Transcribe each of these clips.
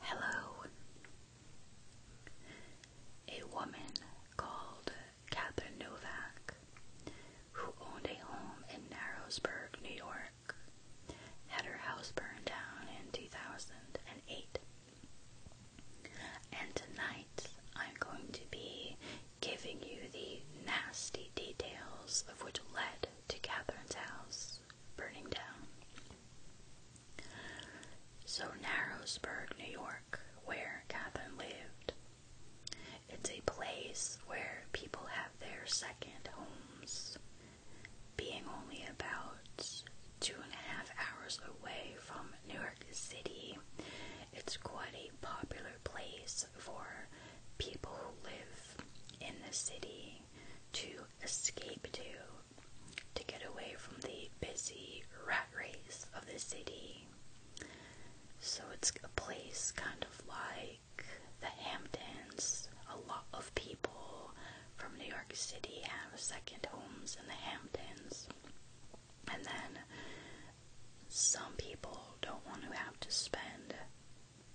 Hello. A woman called Catherine Novak, who owned a home in Narrowsburg, New York, had her house burned down in 2008. And tonight I'm going to be giving you the nasty details of what led to Catherine's house burning down. So, Narrowsburg, New York, where Catherine lived, it's a place where people have their second homes, being only about two and a half hours away from New York City. It's quite a popular place for people who live in the city to escape to, to get away from the busy rat race of the city. So it's a place kind of like the Hamptons. A lot of people from New York City have second homes in the Hamptons. And then some people don't want to have to spend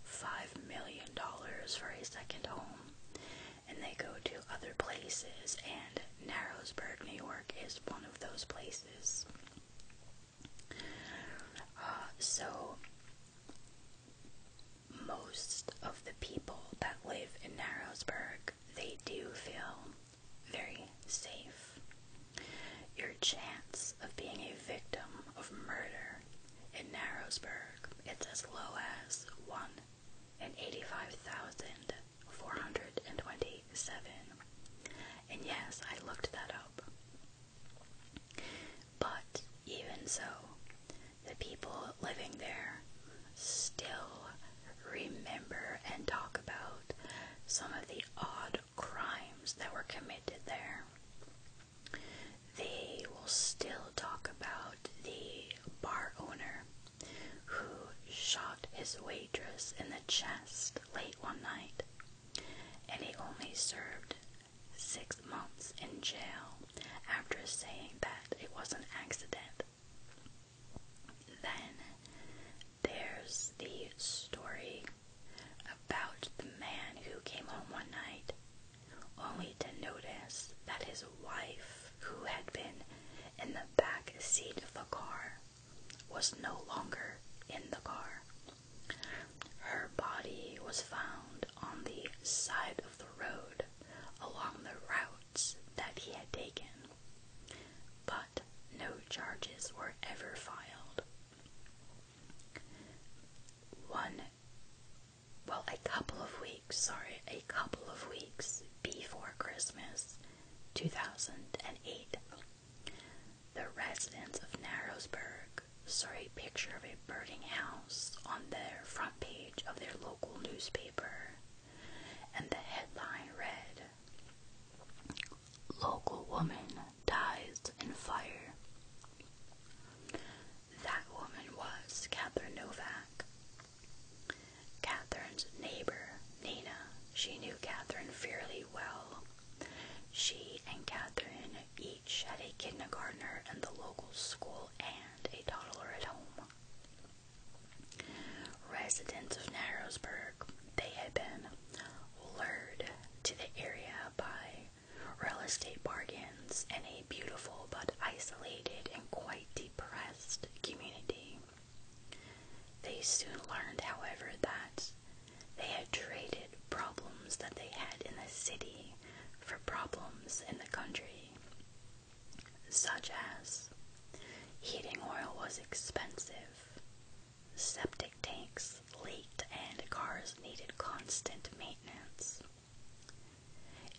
five million dollars for a second home, and they go to other places, and Narrowsburg, New York, is one of those places. Uh, so most of the people that live in Narrowsburg, they do feel very safe. Your chance of being a victim of murder in Narrowsburg it's as low as 1 in 85,427. And yes, I looked that up. But even so, the people living there still remember and talk about some of the odd crimes that were committed there. They will still talk about the bar owner who shot his waitress in the chest late one night, and he only served six months in jail after saying that it was an accident. Then there's the story about the man who came home one night only to notice that his wife, who had been in the back seat of the car, was no longer in the car. Her body was found on the side of the road along the routes that he had taken, but no charges were ever filed. One well, a couple of weeks, sorry, a couple of weeks before Christmas 2008. The residents of Narrowsburg saw a picture of a burning house on the front page of their local newspaper, and the headline read Local Woman Dies in Fire. That woman was Catherine Novak. Catherine's neighbor, Nina, she knew Catherine fairly well. She and Catherine each had a kindergartner in the local school and a toddler at home. Residents of Narrowsburg, they had been lured to the area by real estate bargains, in a beautiful but isolated and quite depressed community. They soon learned, however, that they had traded problems that they had in the city for problems in the country, such as heating oil was expensive, septic tanks late and cars needed constant maintenance.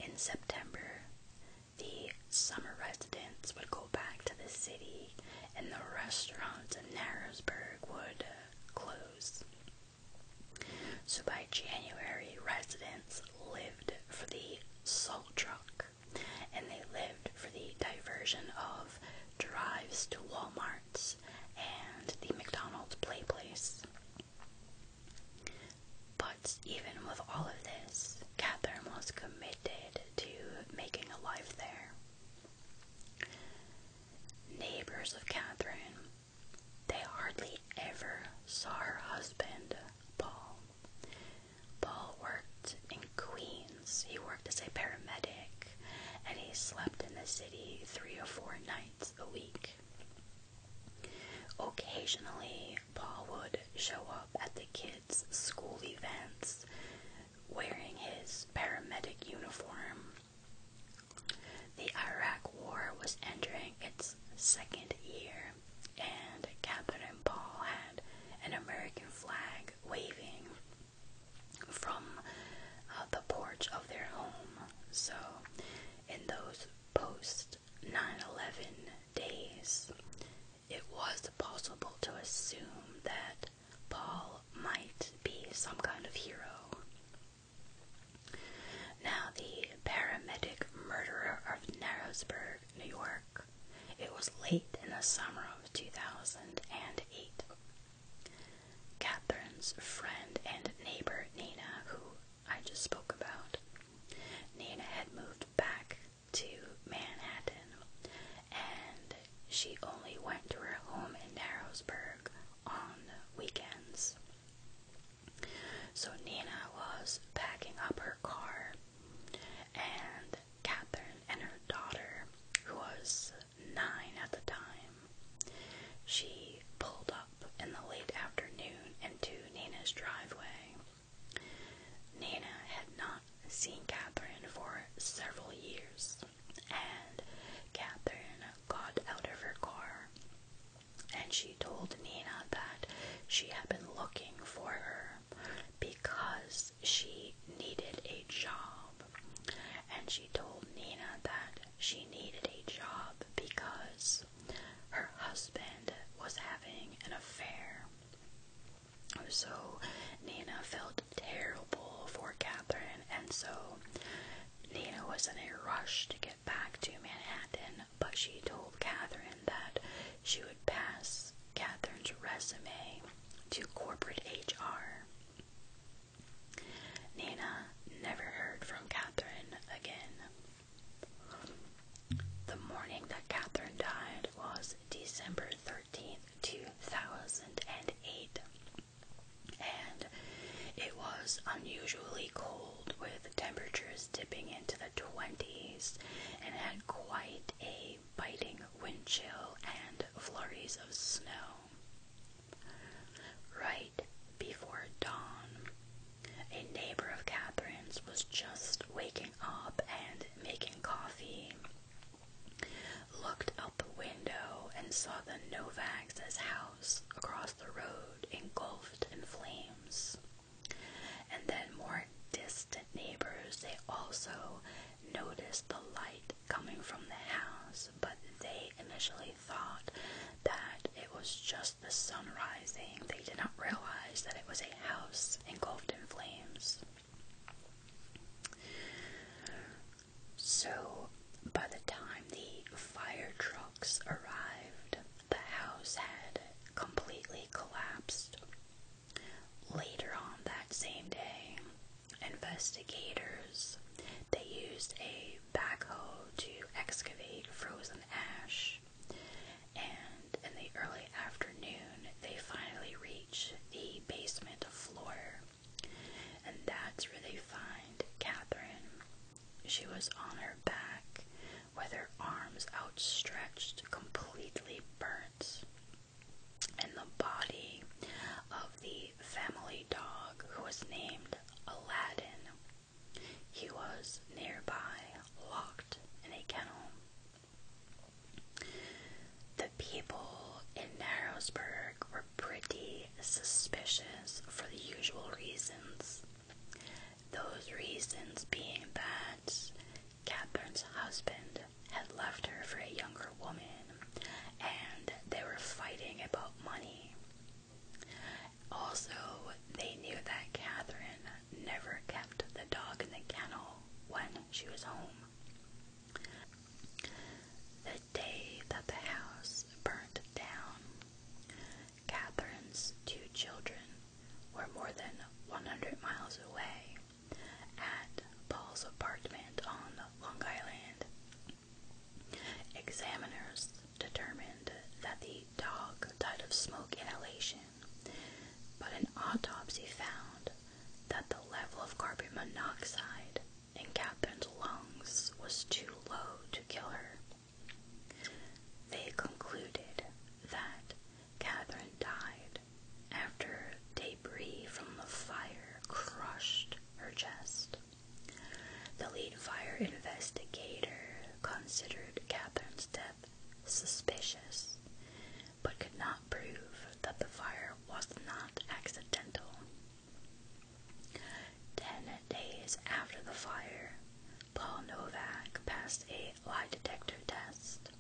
In September, the summer residents would go back to the city and the restaurants in Narrowsburg would uh, close. So by January, residents lived for the salt truck and they lived for the diversion of drives to Walmart's and the McDonald's play place. But even with all of this, Catherine was committed to making a life there. Neighbors of Catherine, they hardly ever saw her husband, Paul. Paul worked in Queens, he worked as a paramedic, and he slept in the city three or four nights a week. Occasionally, Paul would show up at the kids' school events wearing his paramedic uniform. The Iraq War was entering its second year, and Captain Paul had an American flag waving from uh, the porch of their home. So, in those post 9 11 days, it was possible to assume that Paul might be some kind of hero. Now, the paramedic murderer of Narrowsburg, New York, it was late in the summer of 2008 Catherine's friend and neighbor Nina, who I just spoke about, Nina had moved back to Manhattan and she only went to her home in Narrowsburg on weekends. So Nina was packing up her car and Catherine and her daughter, who was nine at the time. She pulled up in the late afternoon into Nina's driveway. Nina had not seen Catherine for several years, and Catherine got out of her car and she told Nina that she had been looking for her because she needed a job. And she told Nina that she needed a job because her husband was having an affair. So Nina felt terrible for Catherine, and so Nina was in a rush to get back to Manhattan, but she told Catherine that she would pass Catherine's resume to corporate HR. Nina never heard from Catherine again. The morning that Catherine died was December 13th, 2008, and it was unusually cold with temperatures dipping into the 20s and had quite a biting wind chill and flurries of snow. Right before dawn, a neighbor of Catherine's was just waking up and making coffee. Looked out the window and saw the Novaks' house across the road engulfed in flames. And then more distant neighbors, they also noticed the light coming from the house, but they initially thought that it was just the sun rising. They did not realize that it was a house engulfed in flames. So, by the time the fire trucks arrived, the house had completely collapsed. Later on that same day, investigators they used a backhoe to excavate frozen ash, and in the early afternoon, they finally reach the basement floor, and that's where they find Catherine. She was on her back with her arms outstretched, completely burnt. And the body of the family dog who was named Aladdin. He was nearby, locked in a kennel. The people in Narrowsburg were pretty suspicious for the usual reasons. Those reasons being that Catherine's husband had left her for a younger woman and they were fighting about money. Also, they knew that Catherine never kept the dog in the kennel when she was home. The day that the house burnt down, Catherine's two children were more than 100 miles away at Paul's apartment on Long Island. Examiners determined that the dog died of smoke inhalation, but an autopsy found that the level of carbon monoxide in Catherine's lungs was too low to kill her. They concluded that Catherine died after debris from the fire crushed her chest. The lead fire investigator considered Catherine's death suspicious, but could not prove that the fire was not accidental. Ten days after the fire, Paul Novak passed a lie detector test,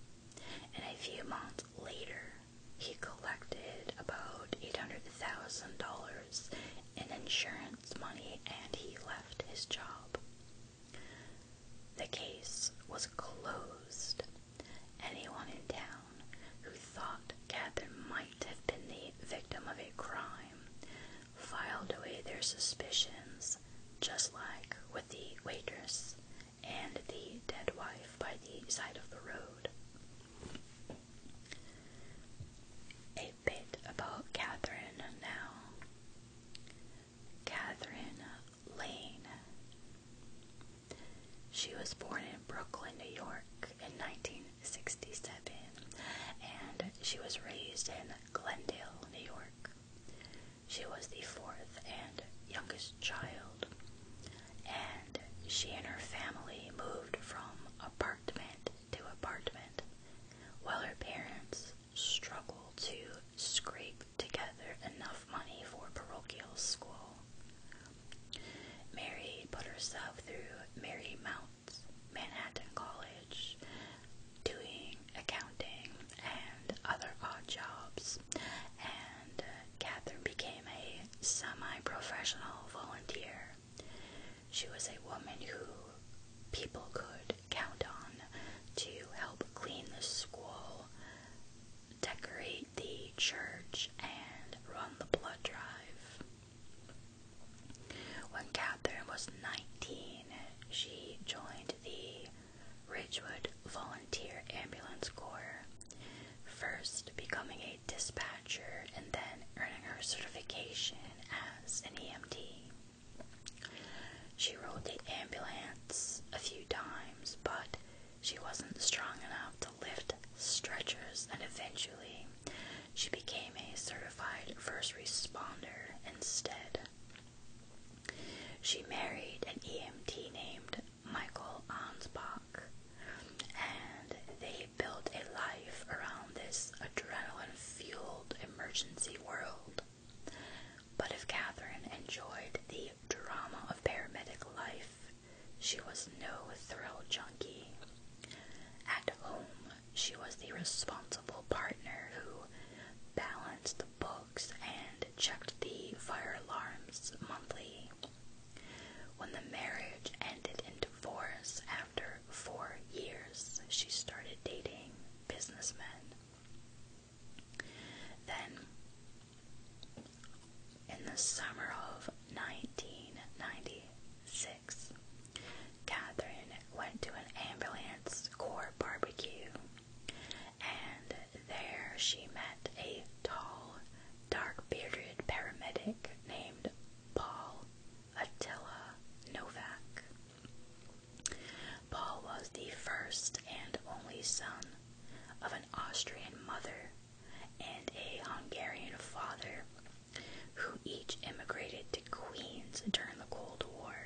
and a few months later, he collected about $850 $1,000 in insurance money and he left his job. The case was closed. Anyone in town who thought Catherine might have been the victim of a crime filed away their suspicions, just like with the waitress and the dead wife by the side of the road. A bit about Catherine now. Catherine Lane. She was born in Brooklyn, New York in 1967 and she was raised in Glendale, New York. She was the fourth and youngest child and she and her family moved from apartment to apartment, while her parents struggle to scrape together enough money for parochial school. Mary put herself through Marymount Manhattan College, doing accounting and other odd jobs, and uh, Catherine became a semi-professional volunteer. She was a woman who people could count on to help clean the school, decorate the church, and run the blood drive. When Catherine was 19, she joined the Ridgewood Volunteer Ambulance Corps, first becoming a a dispatcher and then earning her certification as an EMT. She rode the ambulance a few times, but she wasn't strong enough to lift stretchers, and eventually she became a certified first responder instead. She married an EMT named Michael Ansbach. And they built a life around this adrenaline fueled emergency world. But if Catherine enjoyed the drama of paramedic life, she was no thrill junkie. At home, she was the responsible partner who balanced the books and checked the fire alarms monthly. When the marriage ended in divorce after four years, she started dating businessmen. Then, in the summer of 1996, Catherine went to an ambulance corps barbecue, and there she met a tall, dark bearded paramedic named Paul Attila Novak. Paul was the first and only son of an Austrian mother and a Hungarian father who each immigrated to Queens during the Cold War.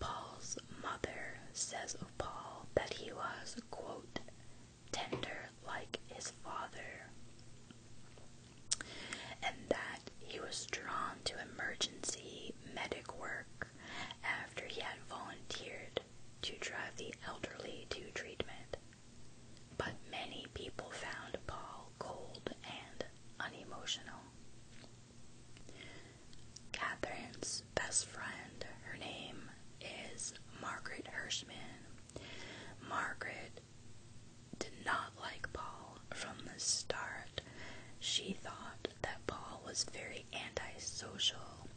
Paul's mother says of Paul that he was, quote, tender like his father, and that he was drawn to emergency medic work after he had volunteered to drive the elderly to treatment. But many people found Paul cold and unemotional. Catherine's best friend, her name is Margaret Hirschman, Margaret did not like Paul from the start. She thought that Paul was very antisocial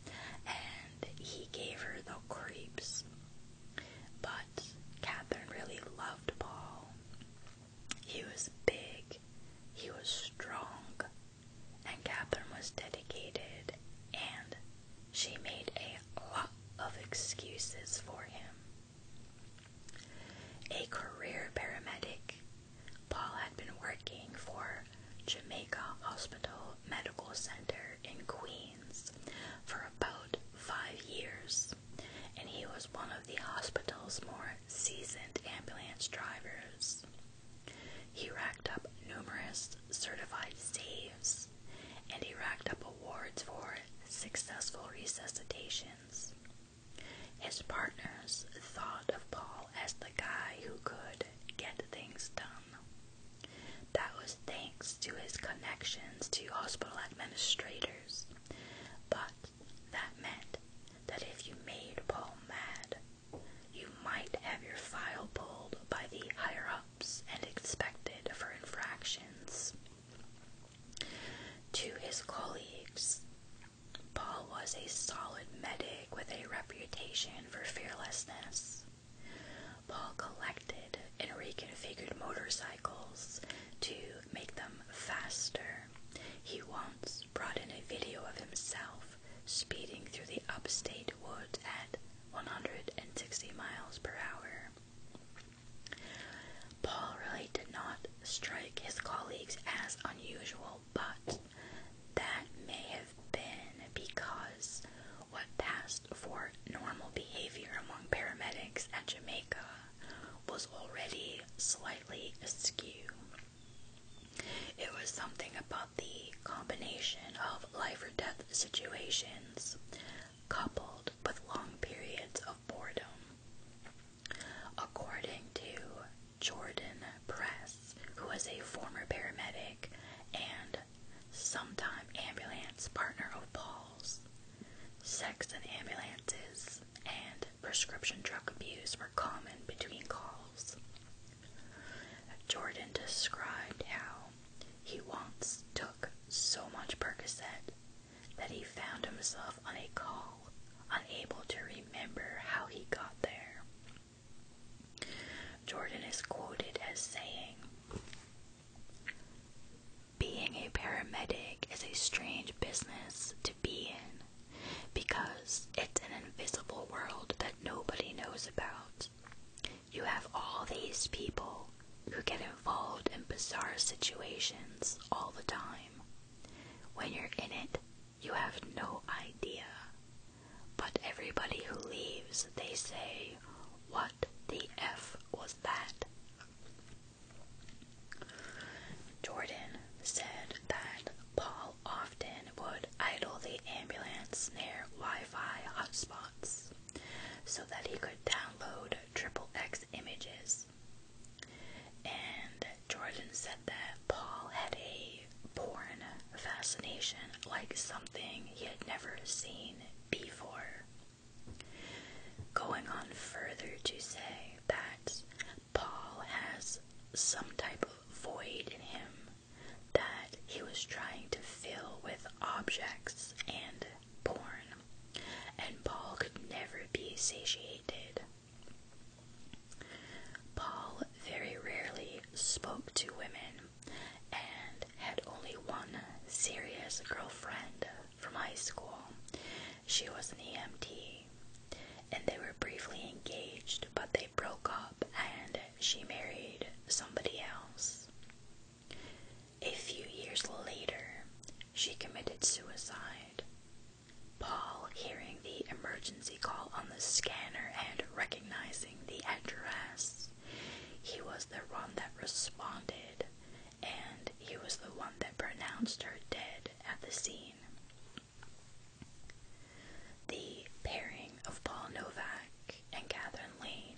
and he gave her the creeps. But Catherine really loved Paul. He was big, he was strong, and Catherine was dedicated and she made a lot of excuses for him. A career paramedic, Paul had been working for Jamaica Hospital Medical Center in Queens for about five years, and he was one of the hospital's more seasoned ambulance drivers. He racked up numerous certified saves and he racked up awards for successful resuscitations. His partners thought of Paul as the guy who could get things done. That was thanks to his connections to hospital administrators. But that meant that if you made Paul mad, you might have your file pulled by the higher and expected for infractions. To his colleagues, Paul was a solid medic with a reputation for fearlessness. Paul collected and reconfigured motorcycles to make them faster. He once brought in a video of himself speeding through the upstate woods at 160 miles per hour. Paul really did not strike his colleagues as unusual, but that may have been because what passed for normal behavior among paramedics at Jamaica was already slightly askew. It was something about the combination of life or death situations, coupled with long periods of boredom. According to Jordan Press, who was a former paramedic and sometime ambulance partner of Paul's, sex in ambulances and prescription drug abuse were common between calls. Jordan described how he once took so much Percocet that he found himself on a call, unable to remember how he got there. Jordan is quoted as saying, Being a paramedic is a strange business to be in because it's an invisible world that nobody knows about you have all these people who get involved in bizarre situations all the time. When you're in it, you have no idea. But everybody who leaves, they say, What the F was that? Jordan said that Paul often would idle the ambulance near Wi Fi hotspot so that he could download XXX images. And Jordan said that Paul had a porn fascination, like something he had never seen before. Going on further to say that Paul has some type of void in him that he was trying to fill with objects and porn, and Paul could never be satiated. Paul very rarely spoke to women and had only one serious girlfriend from high school. She was an EMT, and they were briefly engaged, but they broke up and she married somebody else. A few years later, she committed suicide. Paul, hearing the emergency call on the scanner and recognizing the address, he was the one that responded, and he was the one that pronounced her dead at the scene. The pairing of Paul Novak and Catherine Lane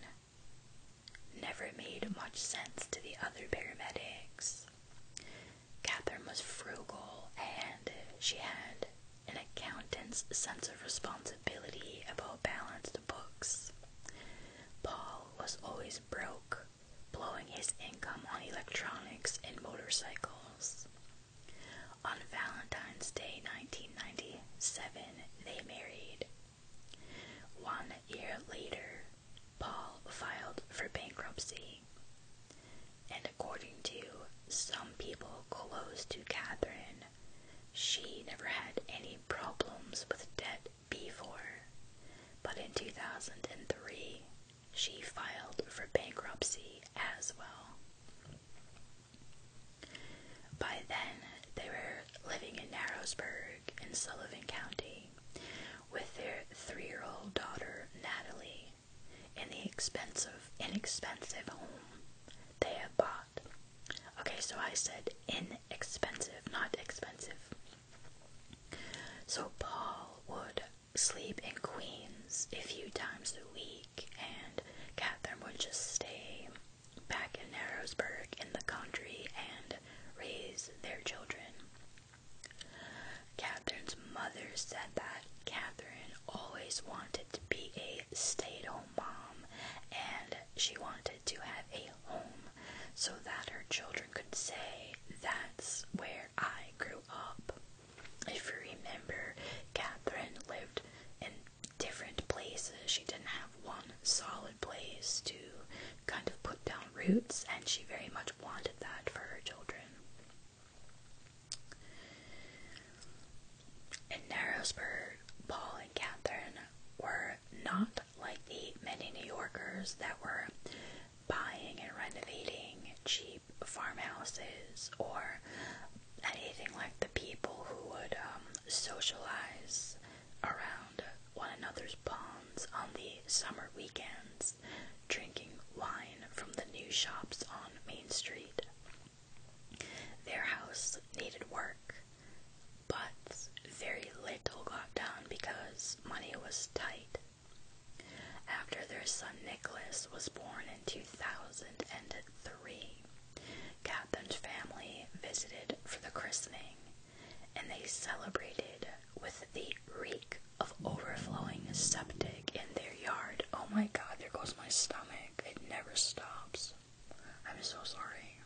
never made much sense to the other paramedics. Catherine was frugal and she had an accountant's sense of responsibility about balanced books. Paul was always broke, blowing his income on electronics and motorcycles. On Valentine's Day 1997, they married, one year later, Paul filed for bankruptcy, and according to some people close to Catherine, she never had any problems with debt before, but in 2003 she filed for bankruptcy as well. By then, they were living in Narrowsburg in Sullivan County with their three year old daughter Natalie in the expensive, inexpensive home they had bought. Okay, so I said inexpensive, not expensive. So Paul would sleep in Queens a few times a week, and Catherine would just stay back in Harrisburg in the country and raise their children. Catherine's mother said that Catherine always wanted to be a stay at home mom and she wanted to have a home so that her children could say, That's where I grew up. If you remember, Catherine lived in different places. She didn't have one solid place to kind of put down roots, and she very much wanted that for her children. In Narrowsburg, Paul and Catherine were not like the many New Yorkers that were buying and renovating cheap farmhouses or anything like the people who would um, socialize around one another's ponds on the summer weekends, drinking wine from the new shops on Main Street. Their house needed work, but very little got done because money was tight. After their son Nicholas was born in 2003, Catherine's family visited for the christening, and they celebrated with the reek of overflowing septic in their yard. Oh my god, there goes my stomach. It never stops. I'm so sorry.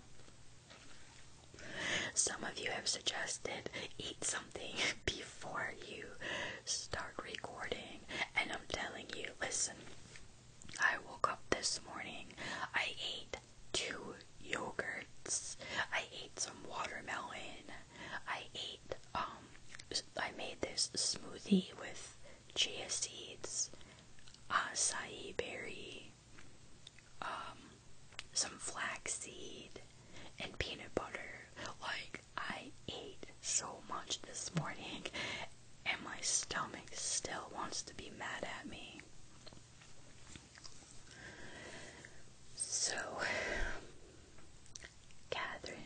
Some of you have suggested eat something before you start recording, and I'm telling you, listen, I woke up this morning. I ate two yogurts. I ate some watermelon. I ate um I made this smoothie with chia seeds, uh, acai berry, um, some flaxseed and peanut butter. Like I ate so much this morning and my stomach still wants to be mad at me. So, Catherine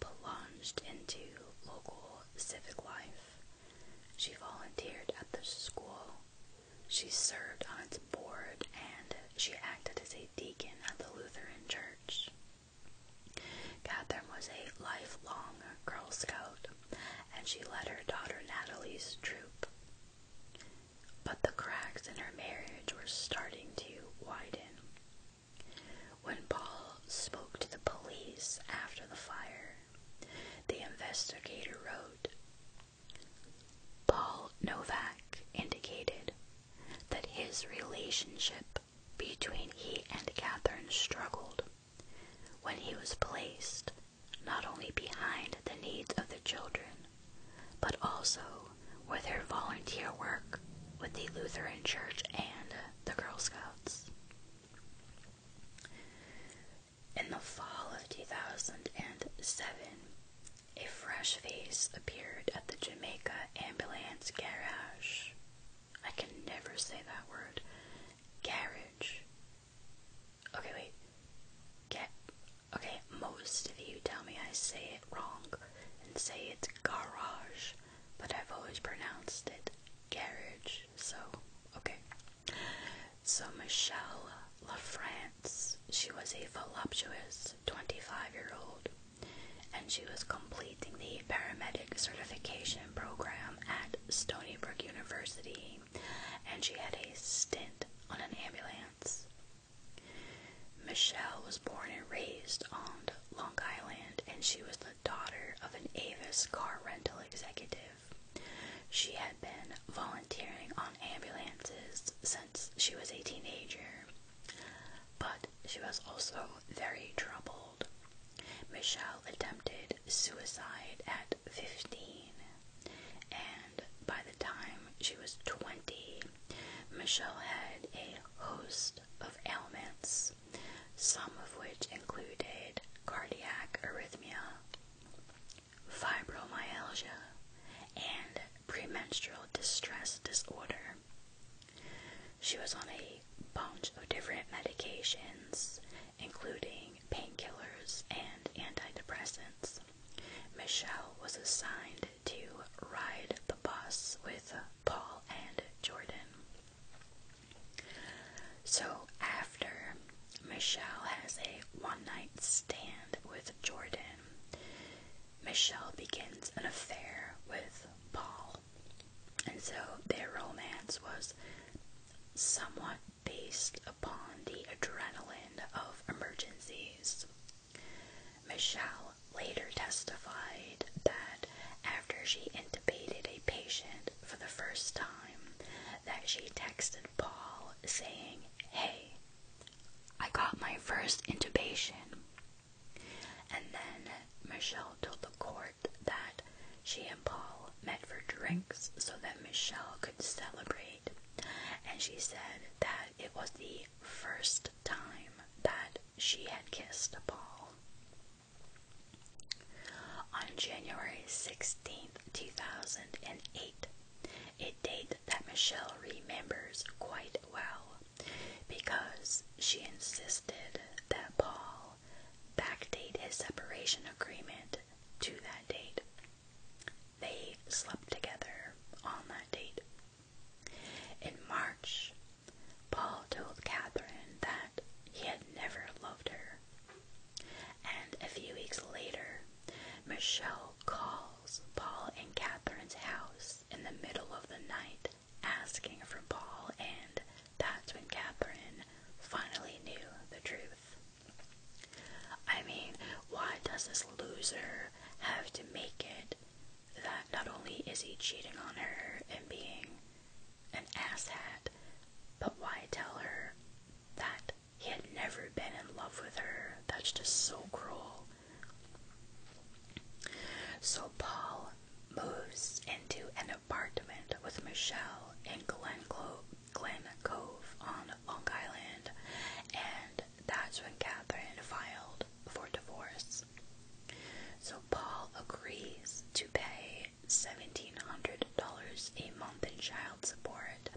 plunged into local civic life. She volunteered at the school, she served on its board, and she acted as a deacon at the Lutheran church. Catherine was a lifelong Girl Scout and she led her daughter Natalie's troop. But the cracks in her marriage were starting to widen. When Paul spoke to the police after the fire, the investigator wrote Paul Novak indicated that his relationship between he and Catherine struggled when he was placed not only behind the needs of the children, but also with her volunteer work with the Lutheran Church and the Girl Scouts. In the fall of 2007, a fresh face appeared at the Jamaica Ambulance Garage. I can never say that word. Garage. Okay, wait. Get. Okay, most of you tell me I say it wrong and say it's garage, but I've always pronounced it garage, so okay. So, Michelle LaFrance, she was a voluptuous 25 year old, and she was completing the paramedic certification program at Stony Brook University, and she had a stint on an ambulance. Michelle was born and raised on Long Island, and she was the daughter of an Avis car rental executive. She had been volunteering on ambulances since she was a teenager, but she was also very troubled. Michelle attempted suicide at 15, and by the time she was 20, Michelle had a host of ailments, some of which included cardiac arrhythmia, fibromyalgia, and premenstrual distress disorder. She was on a bunch of different medications, including painkillers, and antidepressants. Michelle was assigned to ride the bus with Paul and Jordan. So after Michelle has a one night stand with Jordan, Michelle begins an affair with Paul. And so their romance was somewhat based upon the adrenaline of emergencies. Michelle later testified that after she intubated a patient for the first time, that she texted Paul saying, "Hey, I got my first intubation." And then Michelle told the court that she and Paul met for drinks so that Michelle could celebrate, and she said that it was the first time that she had kissed Paul. On January sixteenth, two 2008, a date that Michelle remembers quite well because she insisted that Paul backdate his separation agreement to that date. They slept together on that date. In March, Paul told Catherine that he had never loved her. And a few weeks later, Michelle calls Paul and Catherine's house in the middle of the night asking for Paul and that's when Catherine finally knew the truth. I mean, why does this loser have to make it that not only is he cheating on her and being an asshat, but why tell her that he had never been in love with her? That's just so cruel. So Paul moves into an apartment with Michelle in Glen, Clo Glen Cove on Long Island, and that's when Catherine filed for divorce. So Paul agrees to pay $1,700 a month in child support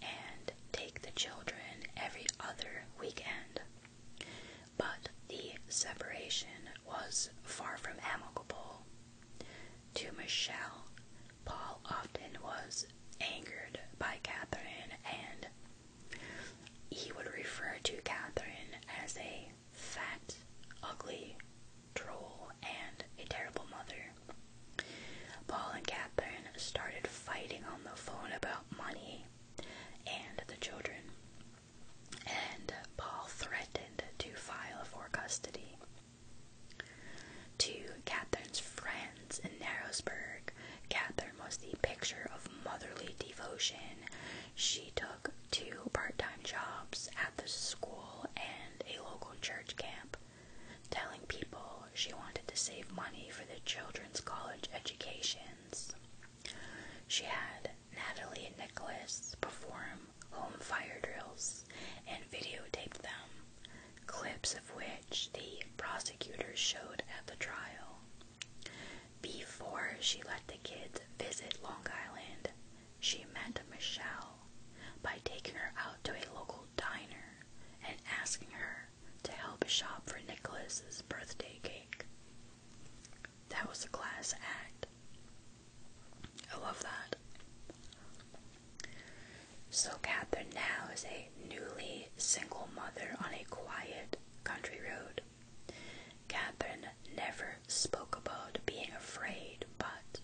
and take the children every other weekend. But the separation was far from amicable. To Michelle, Paul often was angered by Catherine and he would refer to Catherine as a fat, ugly troll and a terrible mother. Paul and Catherine started fighting on the phone about money and the children, and Paul threatened to file for custody. To Catherine's friends in Narrowsburg, Catherine was the picture of motherly devotion. She took two part time jobs at the school and a local church camp, telling people she wanted to save money for the children's college educations. She had Natalie and Nicholas perform home fire drills and videotaped them, clips of which the prosecutors showed at the trial. Before she let the kids visit Long Island, she met Michelle by taking her out to a local diner and asking her to help shop for Nicholas's birthday cake. That was a class act. I love that. So, Catherine now is a newly single mother on a quiet country road. Catherine never spoke about being afraid, but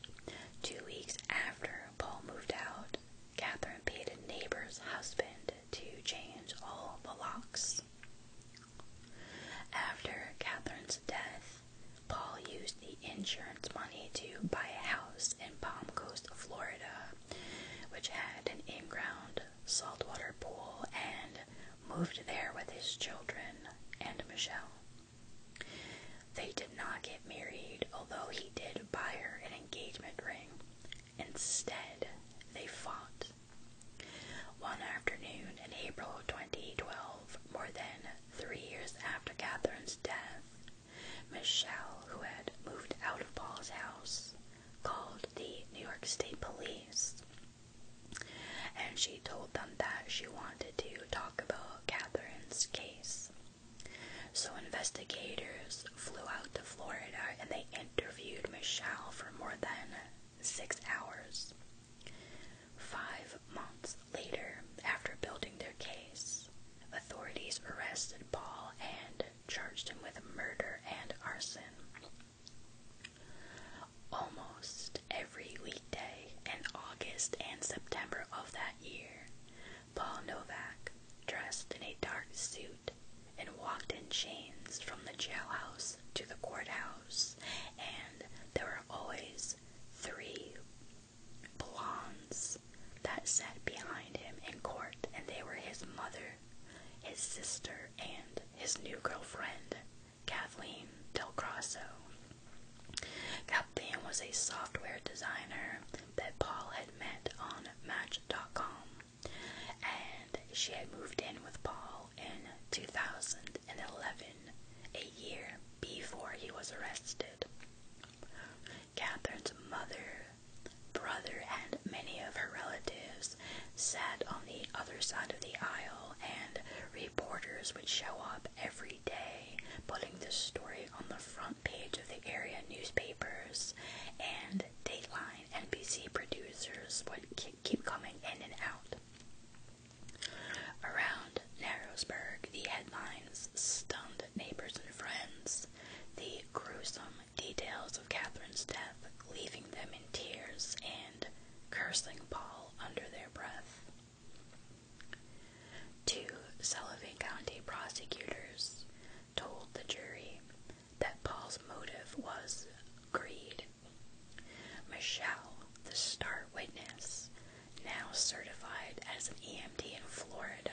two weeks after Paul moved out, Catherine paid a neighbor's husband to change all the locks. After Catherine's death, Paul used the insurance money to buy a house in Palm Coast, Florida, which had an in ground saltwater pool, and moved there with his children and Michelle. They did not get married, although he did buy her an engagement ring. Instead, they fought. One afternoon in April 2012, more than Three years after Catherine's death, Michelle, who had moved out of Paul's house, called the New York State Police and she told them that she wanted to talk about Catherine's case. So investigators flew out to Florida and they interviewed Michelle for more than six hours. Five months later, after building their case, authorities arrested Paul and charged him with murder and arson. Almost every weekday in August and September of that year, Paul Novak, dressed in a dark suit and walked in chains from the jailhouse to the courthouse, and there were always three blondes that sat behind him in court, and they were his mother, his sister, and his new girlfriend, Kathleen Del Kathleen was a software designer that Paul had met on Match.com, and she had moved in with Paul in 2011 a year before he was arrested. Catherine's mother, brother, and many of her relatives sat on the other side of the aisle, and reporters would show up every day putting the story on the front page of the area newspapers, and Dateline NBC producers would keep coming in and out. Around Narrowsburg, the headlines stunned neighbors and friends. The gruesome details of Catherine's death leaving them in tears and cursing Paul under their breath. Two Sullivan County prosecutors told the jury that Paul's motive was greed. Michelle, the star witness, now certified as an EMT in Florida,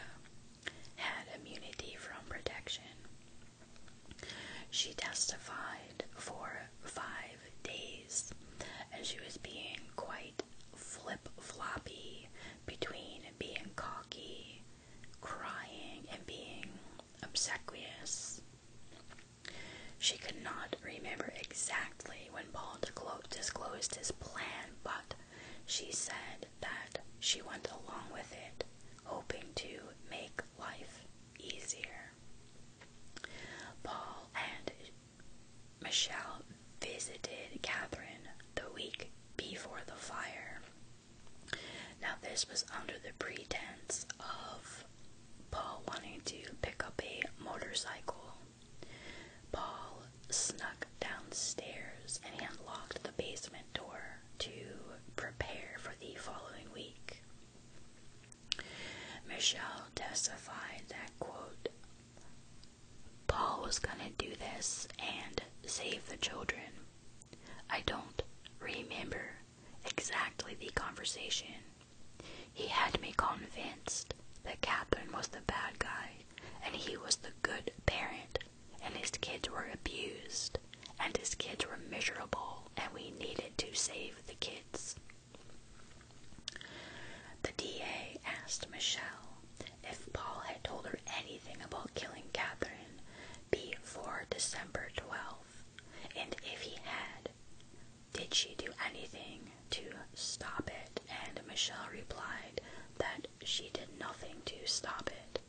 had immunity from protection. She testified for five days, and she was being quite flip floppy between being cocky, crying, and being obsequious. She could not remember exactly when Paul disclosed his plan, but she said that she went along with it, hoping to make life easier. Paul and Michelle visited Catherine the week before the fire. Now, this was under the pretense of Paul wanting to pick up a motorcycle. Paul snuck downstairs and he unlocked the basement door to prepare for the following week. Michelle testified that, quote, Paul was gonna do this and save the children. I don't remember exactly the conversation, he had me convinced that Kaplan was the bad guy and he was the good parent, and his kids were abused, and his kids were miserable, and we needed to save the kids. The DA asked Michelle if Paul had told her anything about killing Catherine before December 12th, and if he had, did she do anything to stop it? And Michelle replied that she did nothing to stop it.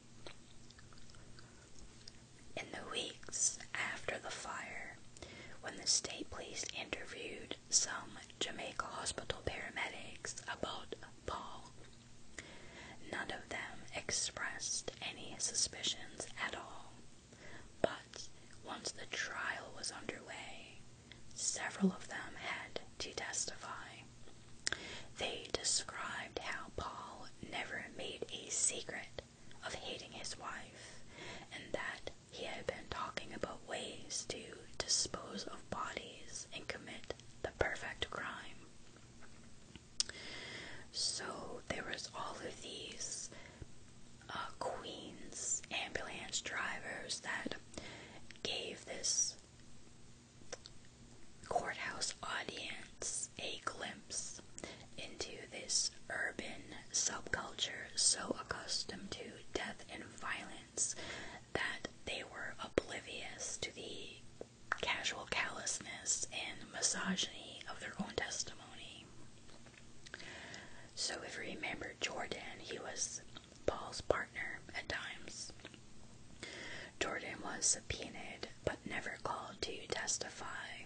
In the weeks after the fire, when the state police interviewed some Jamaica Hospital paramedics about Paul, none of them expressed any suspicions at all. But once the trial was underway, several of them had to testify. They described how Paul never made a secret of hating his wife and that he had been talking about ways to dispose of bodies and commit the perfect crime. So there was all of these uh, Queens ambulance drivers that gave this courthouse audience a glimpse into this urban subculture so accustomed to death and violence that they were oblivious to the casual callousness and misogyny of their own testimony. So, if you remember Jordan, he was Paul's partner at times. Jordan was subpoenaed but never called to testify.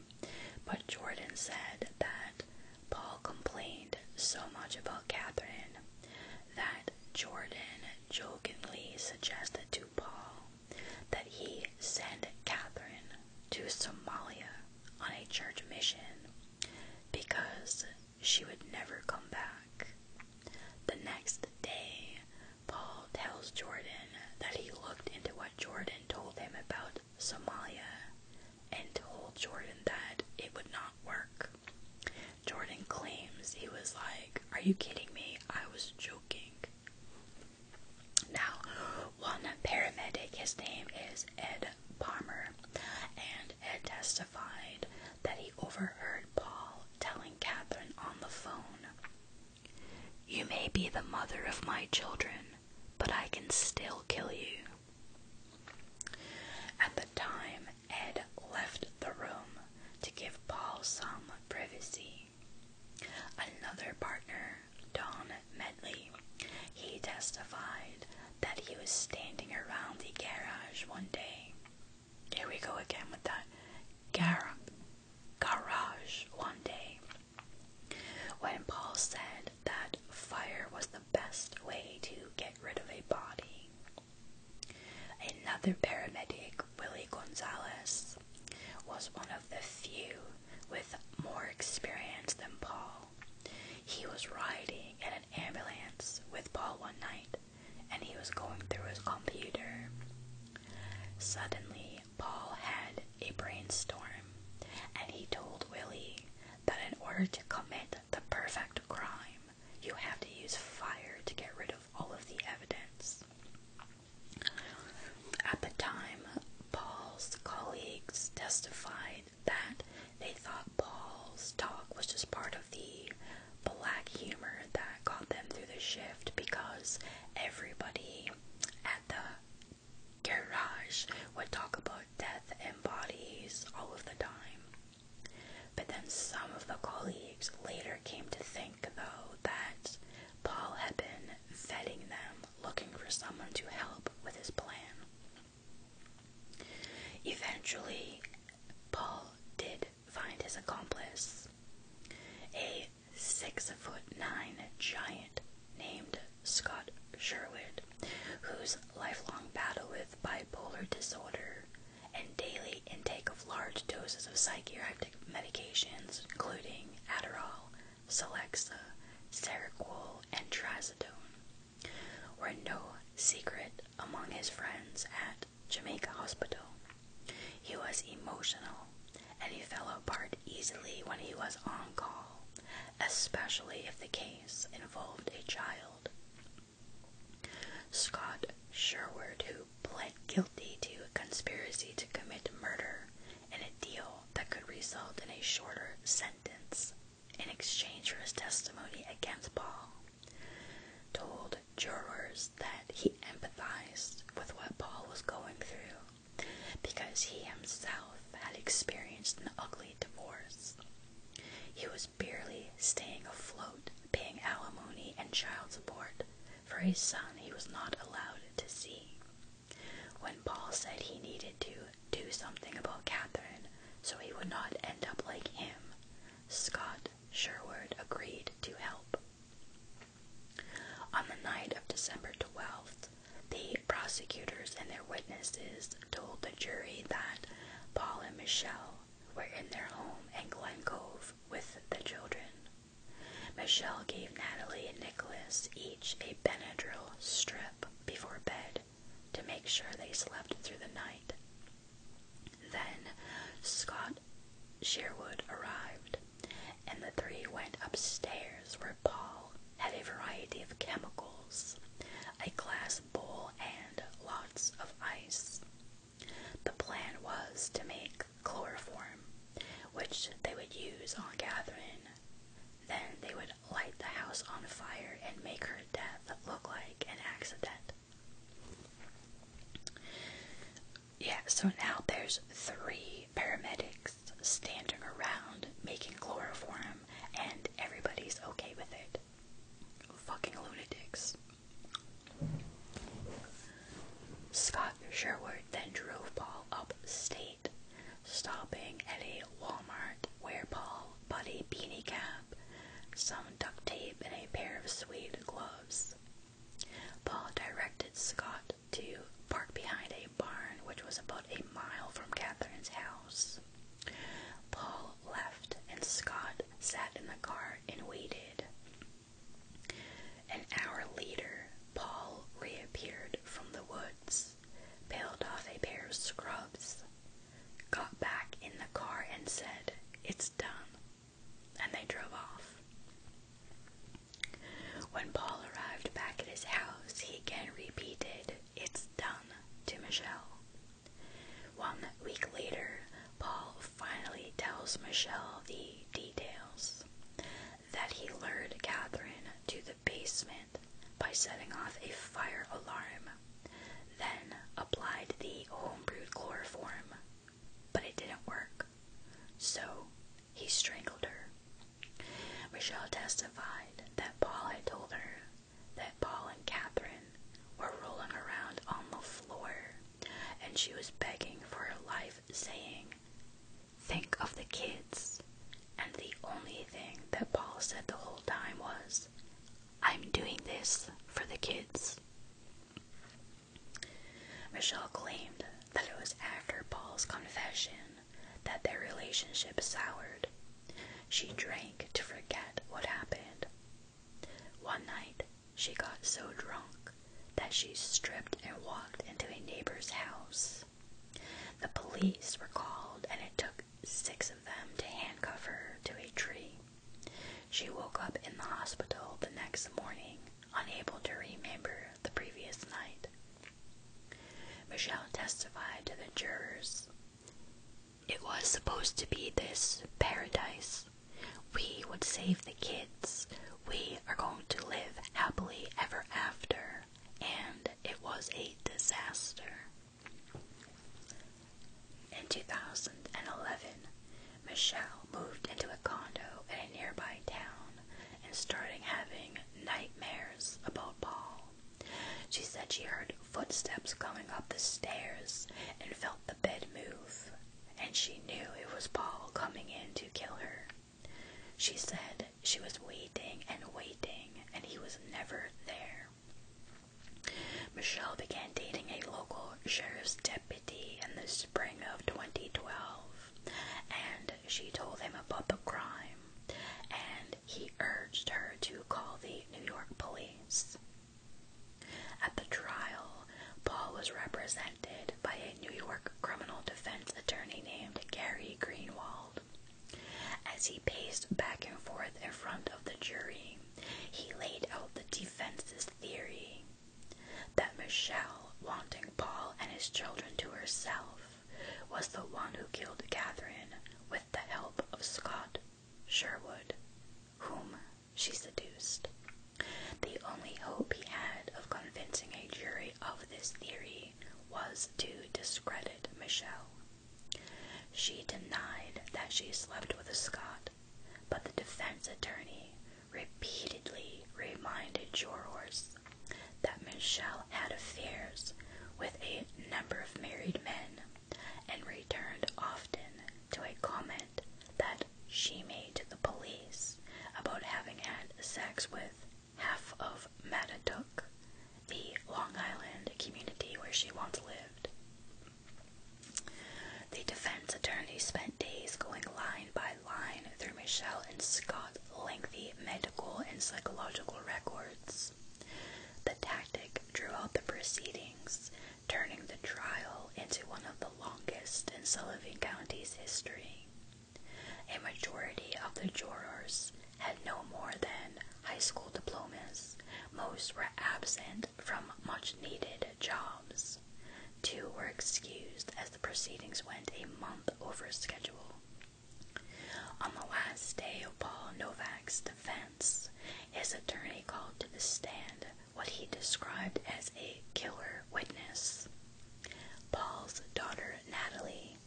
But Jordan said that Paul complained so much about Catherine that Jordan jokingly suggested to Paul that he send Catherine to Somalia on a church mission because she would never come back. The next day, Paul tells Jordan that he looked into what Jordan told him about Somalia and told Jordan that it would not work. Jordan claims he was like, Are you kidding me? I was joking. Now, one paramedic, his name is Ed Palmer, and Ed testified that he overheard Paul telling Catherine on the phone, You may be the mother of my children, but I can still kill you. At the time, Ed left the room to give Paul some privacy. Another partner, Don Medley. He testified that he was standing around the garage one day. Here we go again with that gar garage one day. When Paul said that fire was the best way to get rid of a body. Another paramedic, Willie Gonzalez, was one of the few with more experience than Paul he was riding in an ambulance with Paul one night and he was going through his computer. Suddenly, Paul had a brainstorm and he told Willie that in order to commit the perfect crime, you have to use fire to get rid of all of the evidence. At the time, Paul's colleagues testified say that they thought Paul's talk was just part of the black humor that got them through the shift because everybody at the garage would talk about death and bodies all of the time. But then some of the colleagues later came to think, though, that Paul had been vetting them, looking for someone to help with his plan. Eventually, Paul did find his accomplice, a six foot nine giant named Scott Sherwood, whose lifelong battle with bipolar disorder and daily intake of large doses of psychiatric medications, including Adderall, Celexa, Seroquel, and Trazodone, were no secret among his friends at Jamaica Hospital. He was emotional and he fell apart easily when he was on call, especially if the case involved a child. Scott Sherwood, who pled guilty to a conspiracy to commit murder in a deal that could result in a shorter sentence in exchange for his testimony against Paul, told jurors that he empathized with what Paul was going through because he himself had experienced an ugly divorce. He was barely staying afloat, paying alimony and child support for a son he was not allowed to see. When Paul said he needed to do something about Catherine so he would not end up like him, Scott Sherwood agreed to help. On the night of December 12th, the prosecutors and their witnesses told the jury that Paul and Michelle were in their home in Glen Cove with the children. Michelle gave Natalie and Nicholas each a Benadryl strip before bed to make sure they slept through the night. Then Scott Sherwood arrived, and the three went upstairs where Paul had a variety of chemicals, a glass bowl, and lots of ice. The plan was to make chloroform, which they would use on Catherine. Then they would light the house on fire, and make her death look like an accident. Yeah, so now there's three paramedics standing around making chloroform, and everybody's okay with it. Fucking lunatics. Scott Sherwood then drove Paul upstate stopping at a Walmart where Paul bought a beanie cap, some duct tape, and a pair of suede gloves. Paul directed Scott to park behind a barn which was about a mile from Catherine's house. Paul left and Scott sat in the car and waited. An hour later, Paul reappeared from the woods house, off a pair of scrubs, got back in the car and said, It's done. And they drove off. When Paul arrived back at his house, he again repeated, It's done, to Michelle. One week later, Paul finally tells Michelle the details that he lured Catherine to the basement by setting off a fire alarm, then applied the homebrewed chloroform, but it didn't work, so he strangled her. Michelle testified that Paul had told her that Paul and Catherine were rolling around on the floor, and she was begging for her life, saying, Think of the kids. And the only thing that Paul said the whole time was, I'm doing this for the kids. Michelle claimed that it was after Paul's confession that their relationship soured. She drank to forget what happened. One night, she got so drunk that she stripped and walked into a neighbor's house the police were called, and it took six of them to handcuff her to a tree. She woke up in the hospital the next morning, unable to remember the previous night. Michelle testified to the jurors. It was supposed to be this paradise. We would save the kids. We are going to live happily ever after and it was a disaster. In 2011, Michelle moved into a condo in a nearby town and started having nightmares about Paul. She said she heard footsteps coming up the stairs and felt the bed move, and she knew it was Paul coming in to kill her. She said she was waiting and waiting, and he was never there. Michelle began dating a local sheriff's deputy in the spring of 2012, and she told him about the crime, and he urged her to call the New York police. At the trial, Paul was represented by a New York criminal defense attorney named Gary Greenwald. As he paced back and forth in front of the jury, he laid out the defense's theory that Michelle, wanting Paul and his children to herself, was the one who killed Catherine with the help of Scott Sherwood, whom she seduced. The only hope he had of convincing a jury of this theory was to discredit Michelle. She denied that she slept with a Scot, but the defense attorney repeatedly reminded jurors that Michelle had affairs with a number of married men and returned often to a comment that she made to the police about having had sex with half of Mattatook, the Long Island community where she once lived. The defense attorney spent days going line by line through Michelle and Scott's lengthy medical and psychological records. The tactic drew out the proceedings, turning the trial into one of the longest in Sullivan County's history. A majority of the jurors had no more than high school diplomas. Most were absent from much needed jobs. Two were excused as the proceedings went a month over schedule. On the last day of Paul Novak's defense, his attorney called to the stand what he described as a killer witness. Paul's daughter Natalie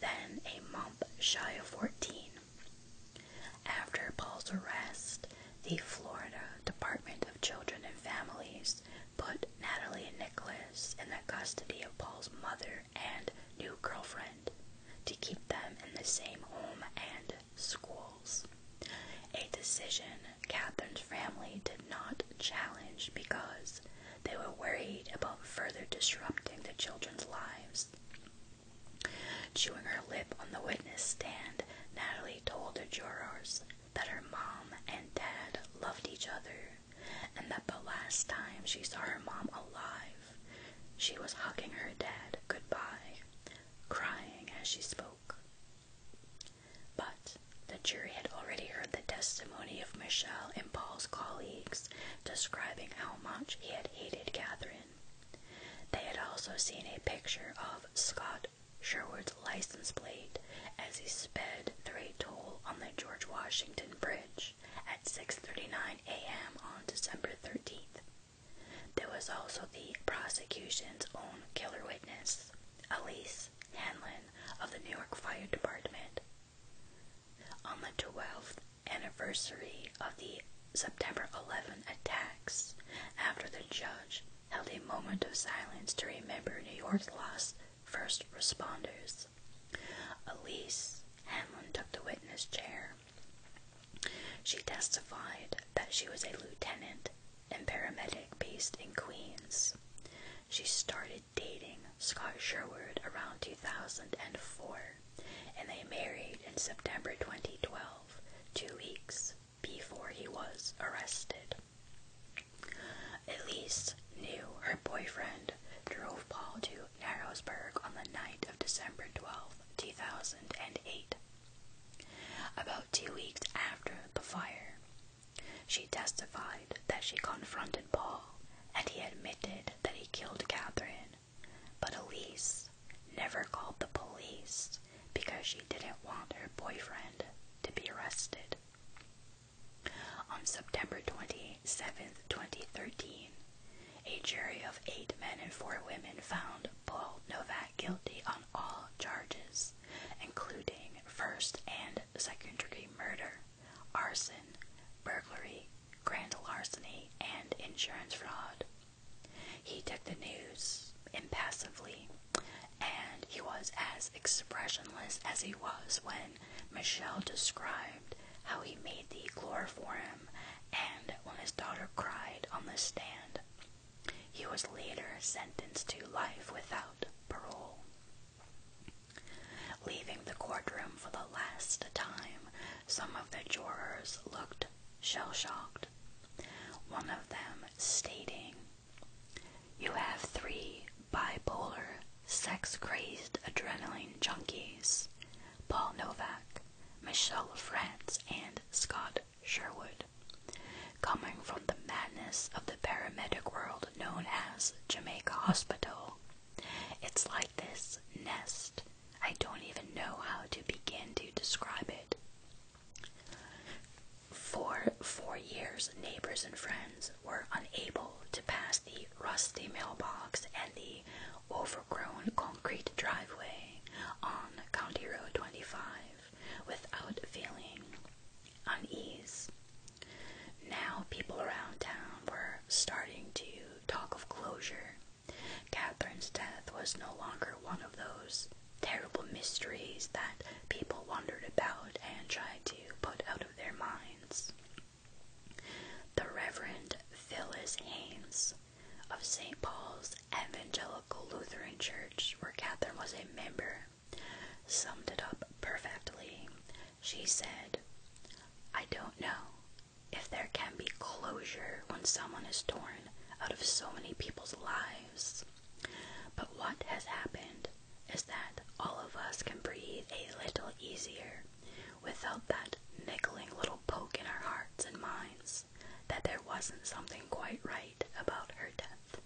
then a month shy of 14. After Paul's arrest, the Florida Department of Children and Families put Natalie and Nicholas in the custody of Paul's mother and new girlfriend to keep them in the same home and schools. A decision Catherine's family did not challenge because they were worried about further disrupting the children's lives. Chewing her lip on the witness stand, Natalie told the jurors that her mom and dad loved each other and that the last time she saw her mom alive, she was hugging her dad goodbye, crying as she spoke. But the jury had already heard the testimony of Michelle and Paul's colleagues describing how much he had hated Catherine. They had also seen a picture of Scott Sherwood's license plate as he sped through a toll on the George Washington Bridge at 6:39 a.m. on December 13th. There was also the prosecution's own killer witness, Elise Hanlon of the New York Fire Department, on the 12th anniversary of the September 11 attacks, after the judge held a moment of silence to remember New York's lost first responders, Elise Hanlon took the witness chair. She testified that she was a lieutenant and paramedic based in Queens. She started dating Scott Sherwood around 2004, and they married in September 2012, two weeks before he was arrested. Elise knew her boyfriend drove Paul to Narrowsburg on the night of December 12, 2008. About two weeks after the fire, she testified that she confronted Paul and he admitted that he killed Catherine, but Elise never called the police because she didn't want her boyfriend to be arrested. On September 27, 2013, a jury of eight men and four women found Paul Novak guilty on all charges, including first and second degree murder arson, burglary, grand larceny, and insurance fraud. He took the news impassively, and he was as expressionless as he was when Michelle described how he made the chloroform and when his daughter cried on the stand. He was later sentenced to life without parole. Leaving the courtroom for the last time, some of the jurors looked shell shocked. One of them stating, You have three bipolar, sex crazed adrenaline junkies Paul Novak, Michelle France, and Scott Sherwood, coming from the madness of the paramedic world known as Jamaica Hospital. It's like this nest. I don't even know how to begin to describe it. For four years, neighbors and friends were unable to pass the rusty mailbox and the overgrown concrete driveway on County Road 25 without feeling unease. Now, people around town were starting to talk of closure. Catherine's death was no longer one of those terrible mysteries that people wondered about and tried to put out of their minds. The Reverend Phyllis Haynes of St. Paul's Evangelical Lutheran Church, where Catherine was a member, summed it up perfectly she said, I don't know if there can be closure when someone is torn out of so many people's lives. But what has happened is that all of us can breathe a little easier without that niggling little poke in our hearts and minds that there wasn't something quite right about her death.